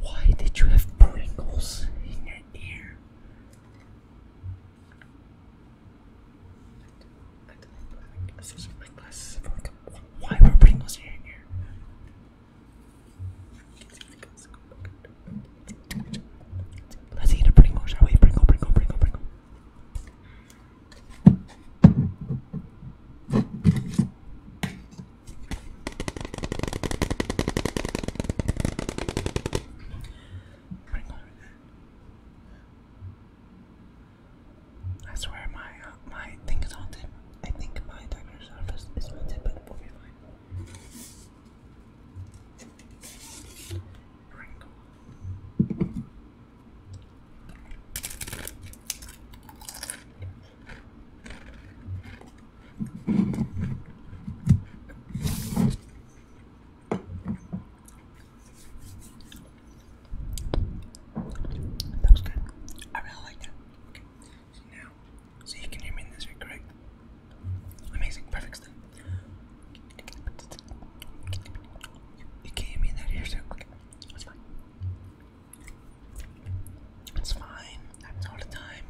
Why did you have Pringles in your ear? Why were Pringles in your ear? Let's eat a Pringle, shall we? Pringle, Pringle, Pringle, Pringle. Pringle. I my uh, my thing is haunted. I think my doctor's office is haunted, but we'll be that was good. I really like that. So now, so you can hear me in this, right? Correct? Amazing, perfect stuff. You can't hear me that ear, so okay, that's fine. It's fine, happens all the time.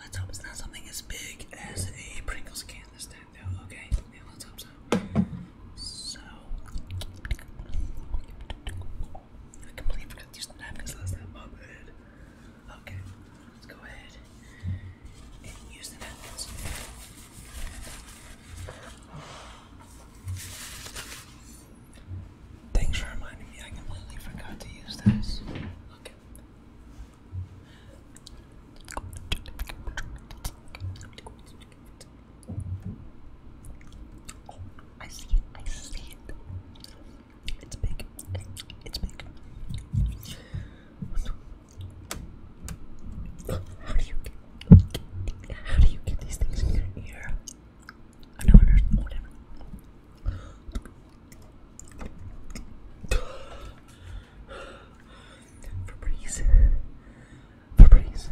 Let's hope it's not something as big as a Pringles can though, okay? let's hope so. So, I completely forgot to use the napkins last time, Okay, let's go ahead and use the napkins. Thanks for reminding me, I completely forgot to use those. Okay. Oh, I see it, I see it. It's big. It's big. How do you how do you get these things in your ear? I don't understand. Whatever. Febreze. Febreze.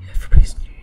Yeah, Febreze in your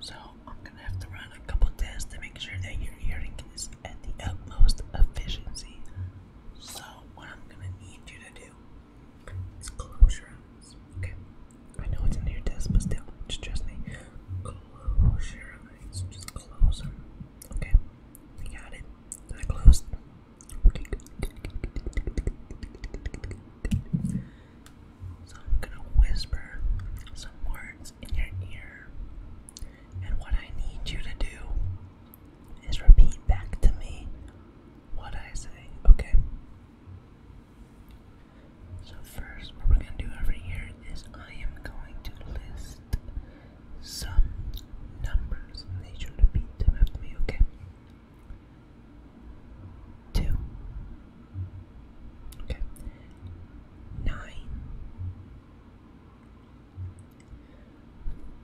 so I'm gonna have to run a couple tests to make sure that your hearing is at the utmost efficiency. So what I'm gonna need you to do is close your eyes. Okay. I know it's a near test, but still, just trust me. Close your eyes. Just close them. Okay. got it. They're closed. So I'm gonna whisper some words in your ear. And what I need you to do is repeat back to me what I say, okay? So, first, what we're gonna do over here is I am going to list some numbers and they should repeat them after me, okay? Two, Okay. Nine.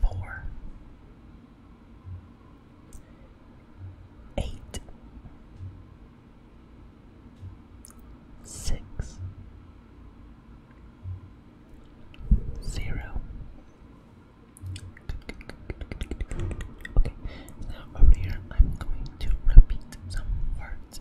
Four. Eight. Six. Zero. Okay, now over here I'm going to repeat some words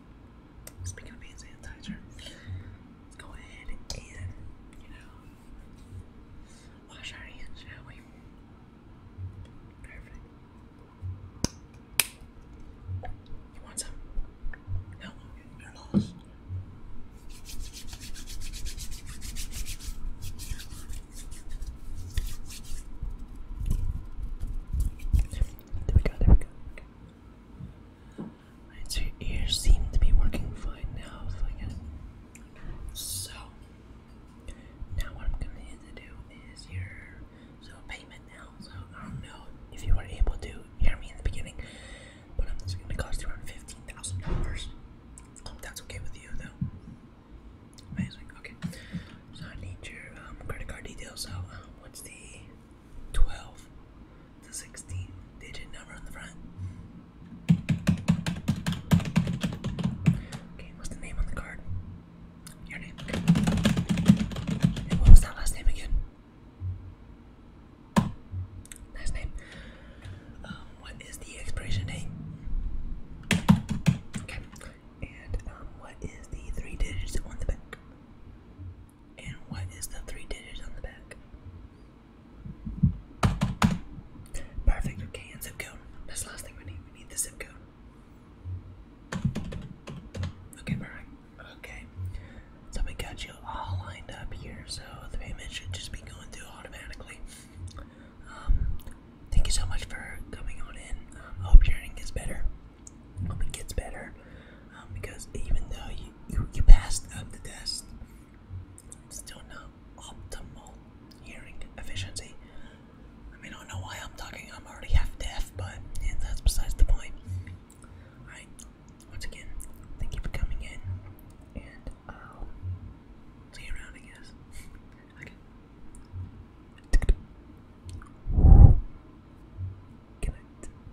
Speaking of being sanitizer, let's go ahead and, you know, wash our hands, shall You want some? No, you're lost. There we go, there we go so your ears seem to be working fine now. So, now what I'm going to need to do is your so payment now. So I don't know if you were able to hear me in the beginning, but I'm just going to cost you around fifteen thousand dollars. Hope that's okay with you, though. Amazing. Okay, so I need your um, credit card details. So uh, what's the 12, to 16 digit number on the front. Okay, what's the name on the card? Your name. And what was that last name again? Last name. Um, what is the expiration date? Okay. And um, what is the three digits on the back? And what is the three digits on the back? Perfect. Okay, and zip code. That's last thing we need. the zip code. Okay, perfect. Okay. So we got you all lined up here, so the payment should just be going through automatically. Um, thank you so much for coming on in. I hope your hearing gets better. hope it gets better. Um, because even though you, you, passed up the test, still not optimal hearing efficiency. I mean, I don't know why I'm talking, I'm already half deaf, but yeah, that's besides the point. Alright, once again, thank you for coming in, and i um, see you around, I guess. okay.